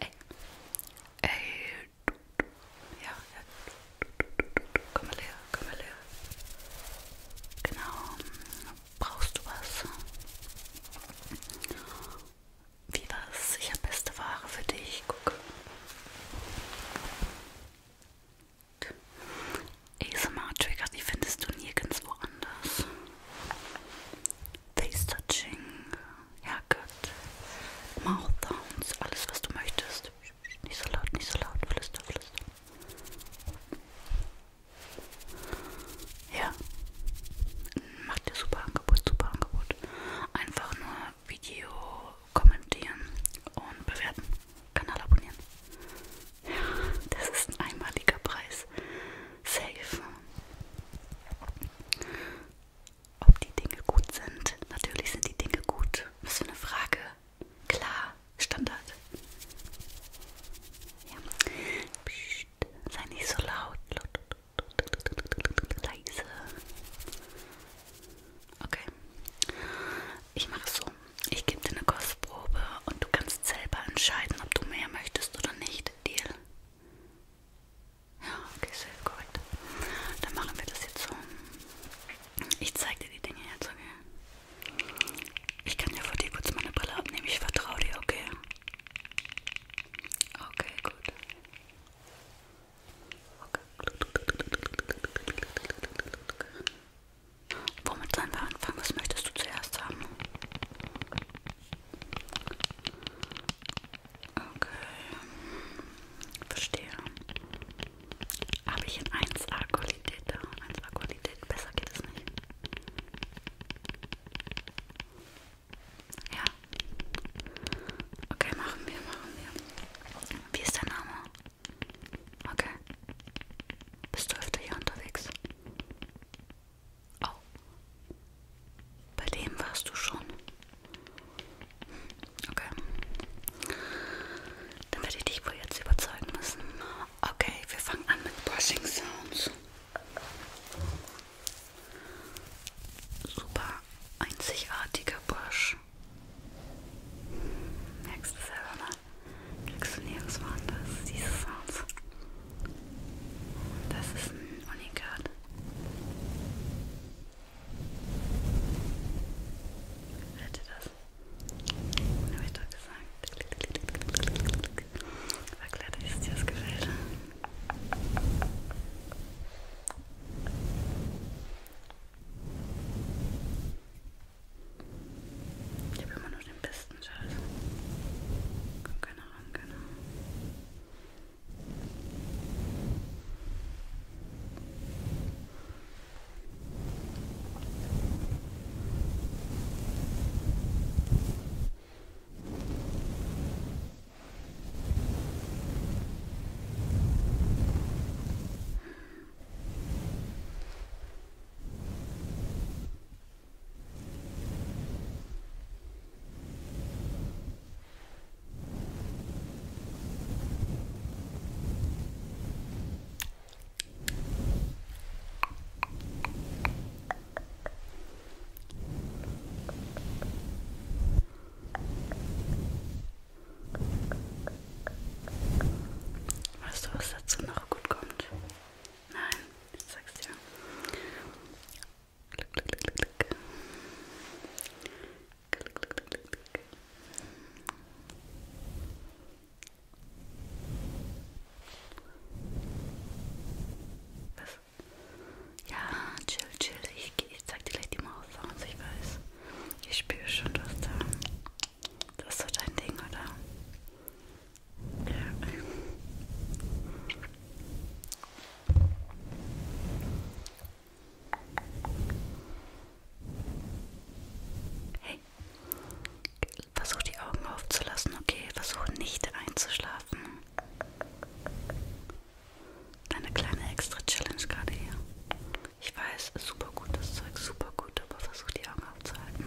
Ey. Ey. Ja, ja. Komm mal her, komm mal her. Genau. Brauchst du was? Wie war's? Ich habe beste Ware für dich. Guck. ASMR-Trigger, die findest du nirgendwo anders. Face-Touching, Haircut, Mouth-Downs, alles was du möchtest. Nicht so laut, nicht so laut, flüster, flüster. Ja, macht dir super Angebot, super Angebot. Einfach nur Video kommentieren und bewerten. Kanal abonnieren. Ja, das ist ein einmaliger Preis. Safe. Ob die Dinge gut sind? Natürlich sind die Dinge gut. Was für eine Frage. Klar, Standard. Ja. Psst, sei nicht so laut. Leise. Okay. Ich mache so. Ich gebe dir eine Kostprobe und du kannst selber entscheiden, ob du mehr möchtest oder nicht. Deal? Ja, okay, sehr korrekt. Dann machen wir das jetzt so. Ich zeige dir die Dinge jetzt, okay? Ich kann dir vor dir kurz meine Brille abnehmen. Ich vertraue dir, okay? Okay, gut. Okay. Okay. Womit sollen wir anfangen? Was möchtest du zuerst haben? Okay. Verstehe. Habe ich in 1A-Qualität da? 1A-Qualität, besser geht es nicht. Ja. Okay, machen wir, machen wir. Wie ist dein Name? Okay. Bist du öfter hier unterwegs? Oh. Bei dem warst du schon. Okay. Dann werde ich dich wohl jetzt überzeugen müssen. Okay, wir fangen an mit Brushing Sounds. Super einzigartiger Brush. Merkst du selber mal? Kriegst du nirgendwo anders diese Sounds. Das ist ein Unikat. Hört ihr das? Dann habe ich doch gesagt. Erklärt euch, dass dir das gefällt. Ich habe immer nur den besten Scheiß. Kommt keiner ran, keiner. Weißt du, was dazu noch gut kommt? Nein, ich sag's dir. Klick, klick, klick, klick. Klick, klick, klick, klick. Was? Ja, chill, chill. Ich, ich zeig dir gleich die Maus-Sounds, also ich weiß. Ich spüre schon, dass da. Das ist so dein Ding, oder? Hey, versuch die Augen aufzulassen, okay? Versuch nicht einzuschlafen. Deine kleine extra Challenge gerade hier. Ich weiß, super gut das Zeug, super gut, aber versuch die Augen aufzuhalten.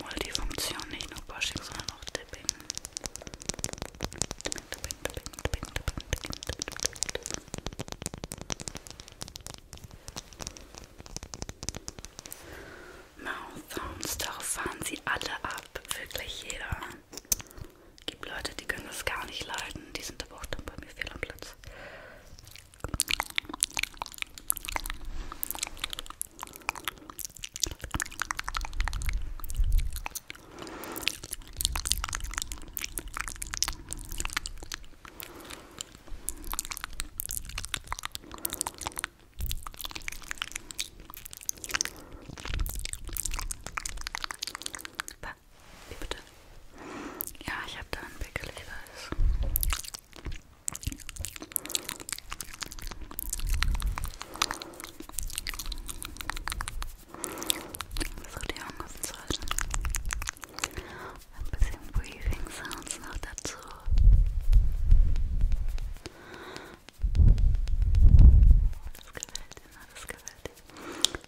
Multifunktion, nicht nur Washing, sondern auch Dipping. Dipping, Dipping, Dipping, Dipping, Dipping, Dipping, Dipping. Mouth Sounds, darauf fahren sie alle ab, wirklich jeder gibt Leute, die können das gar nicht leiden. Die sind aber auch dann bei mir fehl am Platz. War wie bitte? Ja, ich habe da einen Pickel, ich weiß. Versuch die Augen offen zu halten. Ein bisschen Breathing Sounds noch dazu. Das gefällt dir, ne? das gefällt dir.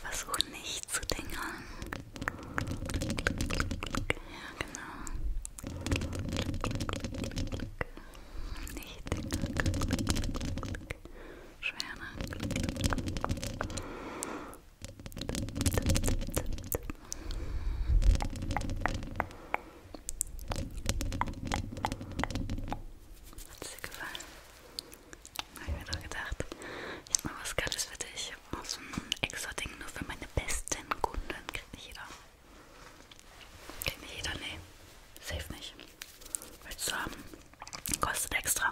Versuch nicht zu dingern. Ja, genau. Nicht dingern. Schwer, Hat es dir gefallen? Habe ich mir doch gedacht. Ich habe mal was Geiles für dich. Auch so ein Extra-Ding nur für meine besten Kunden. Kriegt nicht jeder. Kriegt nicht jeder, nee. Safe nicht. Willst du haben? Kostet extra.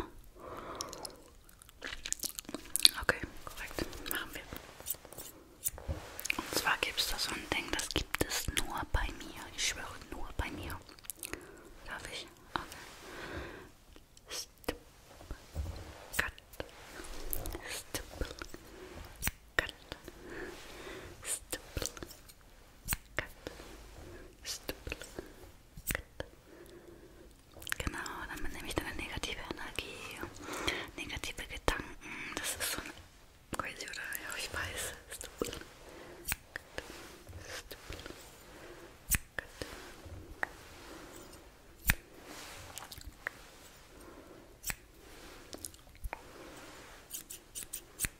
Okay, korrekt. Machen wir. Und zwar gibt es da so ein Ding, das gibt es nur bei mir. Ich schwöre, nur bei mir. Darf ich? Okay. Stip. Cut. Stip. Cut. Stip. Cut. Stupel. Cut. Genau, damit nehme ich dann eine negative Energie, negative Gedanken. Das ist so ein crazy, oder? Ja, ich weiß. Stupel. Cut. Stupel. Cut. Gut.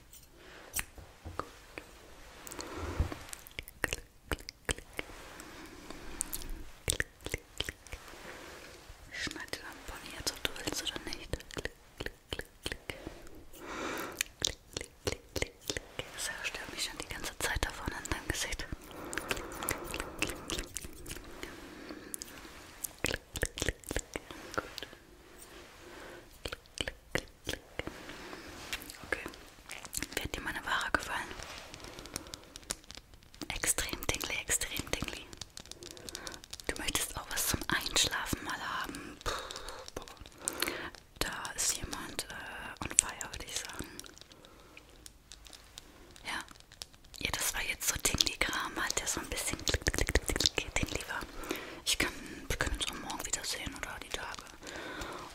Klick, klick, klick. Klick, klick, klick. Ich schneide dann von jetzt, ob du willst oder nicht. Klick, klick, klick, klick. Klick, klick, klick, klick, klick. Das stört mich schon die ganze Zeit davon an deinem Gesicht. Klick, klick, klick, klick. Klick, klick, klick, klick. Gut. Klick, klick, klick, klick. Okay. Wird dir meine Ware gefallen? Extrem dingli, extrem dingli. Du möchtest auch was zum Einschlafen mal haben. Puh, da ist jemand äh, on fire, würde ich sagen. Ja. ja, das war jetzt so Dingli-Kram, halt der so ein bisschen Dingli war. Ich kann wir können uns am Morgen wiedersehen oder die Tage.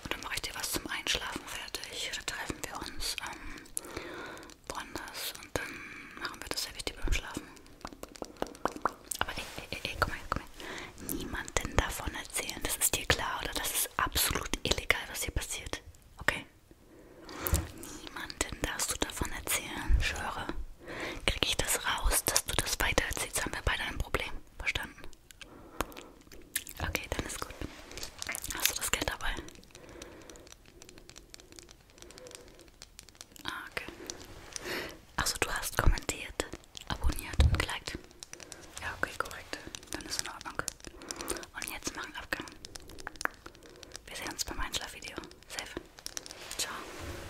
Und dann mache ich dir was zum Einschlafen fertig. Dann treffen wir uns ähm, woanders und dann machen wir das selbst beim Schlafen. Aber ey, ey, ey, komm her, komm her. Niemanden davon erzählen. Das ist dir klar, oder? Das ist absolut illegal, was hier passiert. Okay? Niemanden darfst du davon erzählen, schwöre kriege ich das raus, dass du das weiter erzählst, haben wir beide ein Problem. Verstanden? Okay, dann ist gut. Hast du das Geld dabei? Ah, okay. Achso, du hast kommentiert, abonniert und geliked. Ja, okay, korrekt. Dann ist in Ordnung. Und jetzt machen Abgang. Wir sehen uns beim Einschlafvideo. Safe. Ciao.